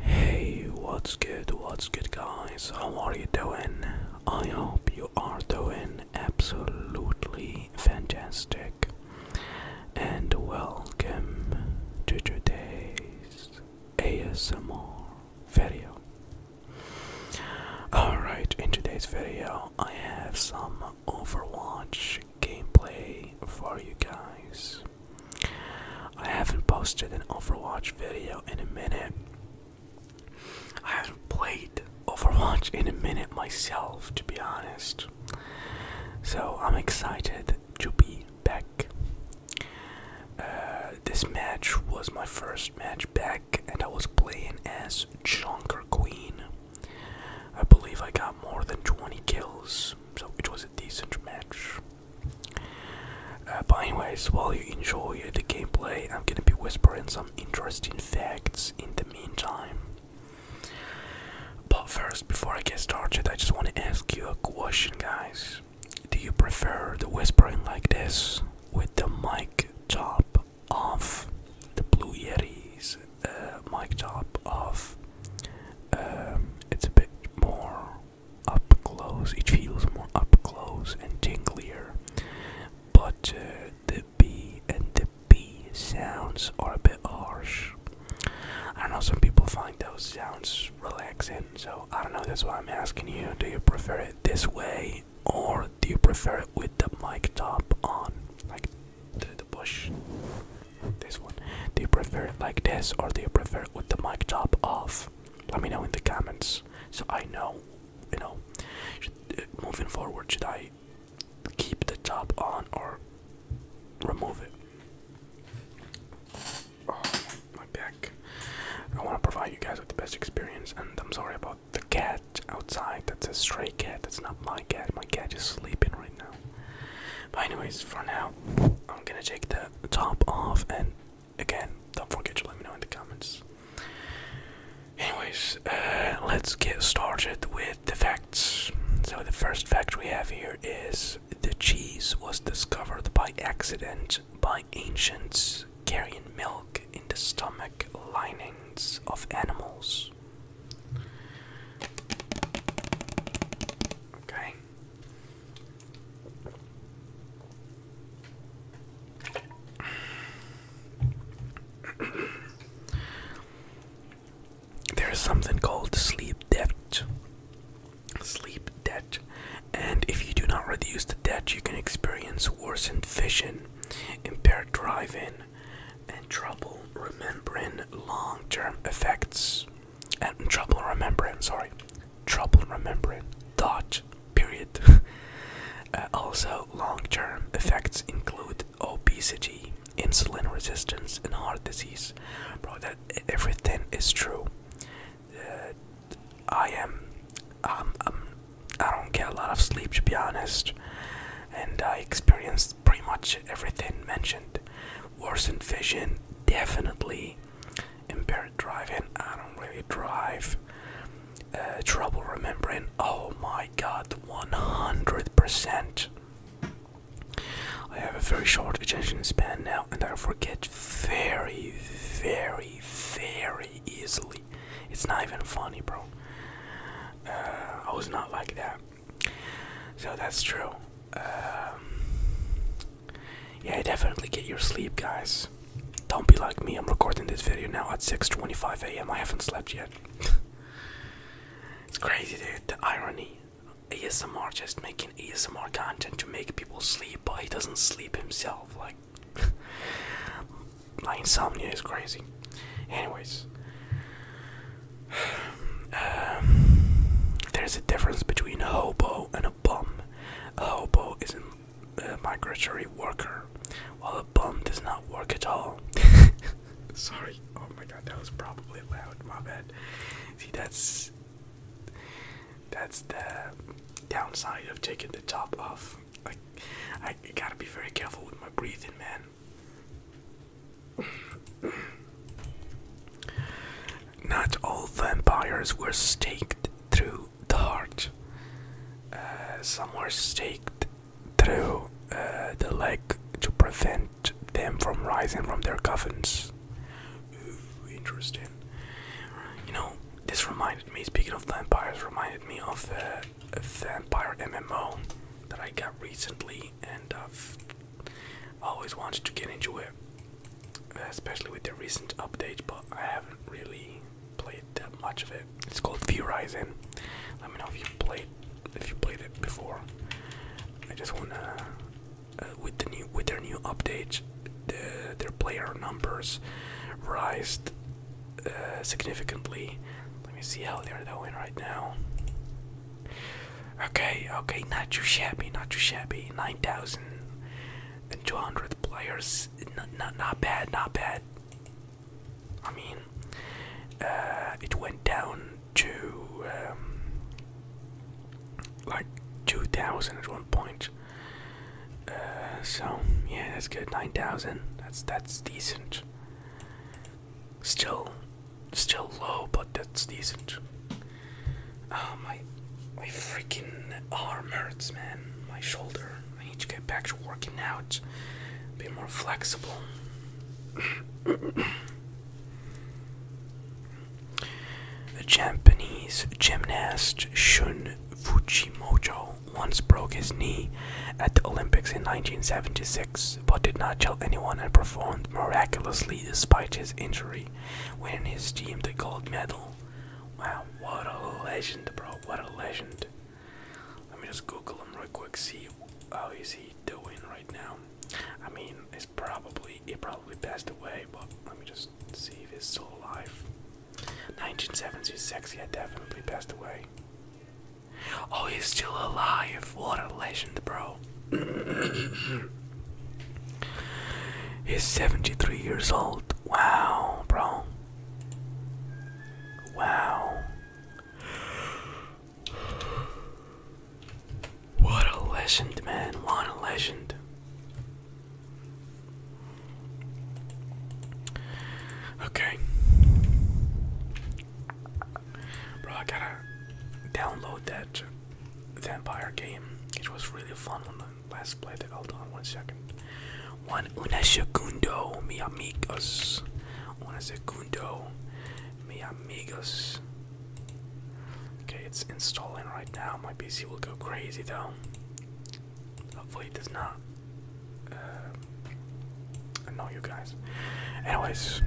Hey, what's good? What's good, guys? How are you doing? I hope you are doing absolutely fantastic. And welcome to today's ASMR video. Alright, in today's video, I have some Overwatch gameplay for you guys. I haven't posted an Overwatch video in a minute. I haven't played Overwatch in a minute myself, to be honest. So I'm excited to be back. Uh, this match was my first match back, and I was playing as Junker Queen. I believe I got more than 20 kills, so it was a decent match. Uh, but anyways, while you enjoy the gameplay, I'm gonna be whispering some interesting facts in the meantime. But first, before I get started, I just want to ask you a question, guys. Do you prefer the whispering like this, with the mic top off, the Blue Yeti's uh, mic top off, um, it's a bit more up close, it feels more up close and tinglier, but uh, the B and the B sounds are a bit harsh. I don't know, some people find those sounds relaxing, so I don't know, that's why I'm asking you do you prefer it this way or do you prefer it with the mic top on? Like through the bush. This one. Do you prefer it like this or do you prefer it with the mic top off? Let me know in the comments so I know, you know, uh, moving forward, should I keep the top on or remove it? Oh, my back. I want to provide you guys with the best experience, and I'm sorry about the cat outside. That's a stray cat. That's not my cat. My cat is sleeping right now. But anyways, for now, I'm gonna take the top off, and again, don't forget to let me know in the comments. Anyways, uh, let's get started with the facts. So the first fact we have here is the cheese was discovered by accident by ancients carrying milk in the stomach linings of animals. Okay. There's something called sleep debt. Sleep debt. And if you do not reduce the debt, you can experience worsened vision, impaired driving, and trouble remembering long-term effects and trouble remembering sorry trouble remembering thought period uh, also long-term effects include obesity insulin resistance and heart disease bro that everything is true uh, i am um, um, i don't get a lot of sleep to be honest and i experienced pretty much everything mentioned. Worsened vision, definitely. Impaired driving, I don't really drive. Uh, trouble remembering, oh my god, 100%. I have a very short attention span now and I forget very, very, very easily. It's not even funny, bro. Uh, I was not like that. So that's true. Um, yeah, definitely get your sleep, guys. Don't be like me. I'm recording this video now at 6:25 a.m. I haven't slept yet. it's crazy, dude. The irony. ASMR just making ASMR content to make people sleep, but he doesn't sleep himself. Like, my insomnia is crazy. Anyways, um, there's a difference between a hobo and a bum. A hobo is a migratory worker, while a bum does not work at all. Sorry. Oh my god, that was probably loud. My bad. See, that's that's the downside of taking the top off. Like, I gotta be very careful with my breathing, man. Not all vampires were staked through the heart. Uh, some were staked through uh, the leg to prevent them from rising from their coffins. interesting. You know, this reminded me, speaking of vampires, reminded me of uh, that vampire MMO that I got recently, and I've always wanted to get into it, especially with the recent update. But I haven't really played that much of it. It's called V-Rising. Let me know if you played if you played it before. I just wanna uh, with the new with their new update, their player numbers rised significantly. Let me see how they're doing right now. Okay, okay, not too shabby, not too shabby. 9,200 players, not, not, not bad, not bad. I mean, uh, it went down to um, like 2,000 at one point. Uh, so yeah, that's good. Nine thousand. That's that's decent. Still, still low, but that's decent. Ah, my, my freaking arm hurts, man. My shoulder. I need to get back to working out. Be more flexible. The Japanese gymnast Shun Fujimoto once broke his knee at the Olympics in 1976 but did not tell anyone and performed miraculously despite his injury, winning his team the gold medal. Wow, what a legend, bro! What a legend. Let me just Google him real quick. See how is he doing right now. I mean, it's probably he probably passed away, but let me just see if he's still alive. 1976, he had definitely passed away. Oh, he's still alive. What a legend, bro. he's 73 years old. Wow, bro. Wow. What a legend, man. What a legend. Okay. Bro, I gotta download that vampire game. It was really fun when I last played it. Hold on one second. One una segundo, mi amigos. Una segundo, mi amigos. Okay, it's installing right now. My PC will go crazy though. Hopefully it does not uh, annoy you guys. Anyways,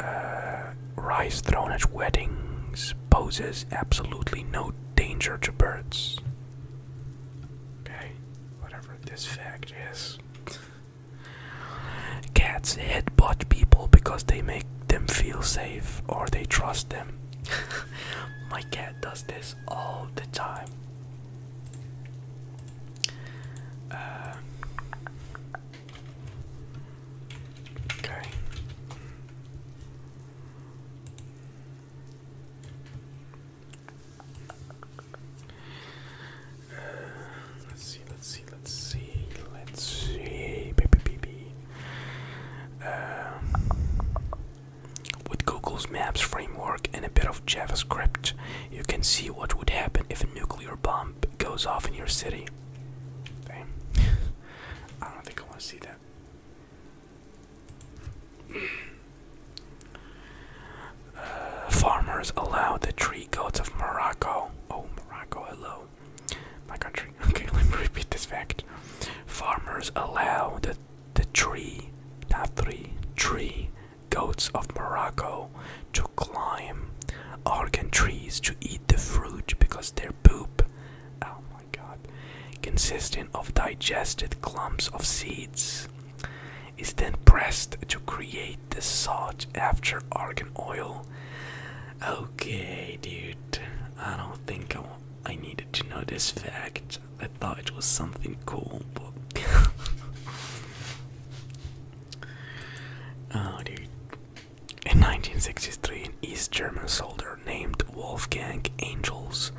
uh, rice thrown at weddings poses absolutely no danger to birds. Okay, whatever this fact is. Cats headbutt people because they make them feel safe or they trust them. My cat does this all the time. Uh, okay. Uh, let's see, let's see, let's see, let's see, baby, baby. With Google's Maps framework and a bit of JavaScript, you can see what would happen if a nuclear bomb goes off in your city. Okay. I don't think I want to see that. Uh, farmers allow the tree goats of Morocco. Oh, Morocco, hello. My country. Okay, let me repeat this fact. Farmers allow the the tree, not three, tree goats of Morocco to climb Argan trees to eat the fruit because their poop, oh my god, consisting of digested clumps of seeds, is then pressed to create the sought after argan oil. Okay, dude, I don't think I I needed to know this fact. I thought it was something cool, but. Oh, In 1963, an East German soldier named Wolfgang Angels,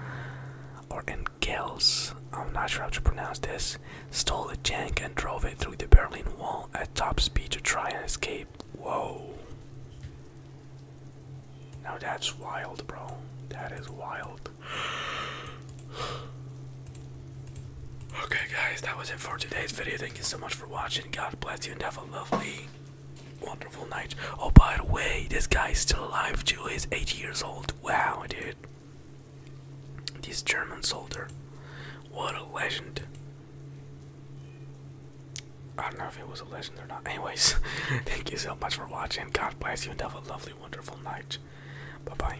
or Engels, I'm not sure how to pronounce this, stole a tank and drove it through the Berlin Wall at top speed to try and escape. Whoa. Now that's wild, bro. That is wild. Okay, guys, that was it for today's video. Thank you so much for watching. God bless you and have a lovely, wonderful night. Oh, by the way, this guy is still alive, too. He's 80 years old. Wow, dude. This German soldier. What a legend. I don't know if it was a legend or not. Anyways, thank you so much for watching. God bless you and have a lovely, wonderful night. Bye bye.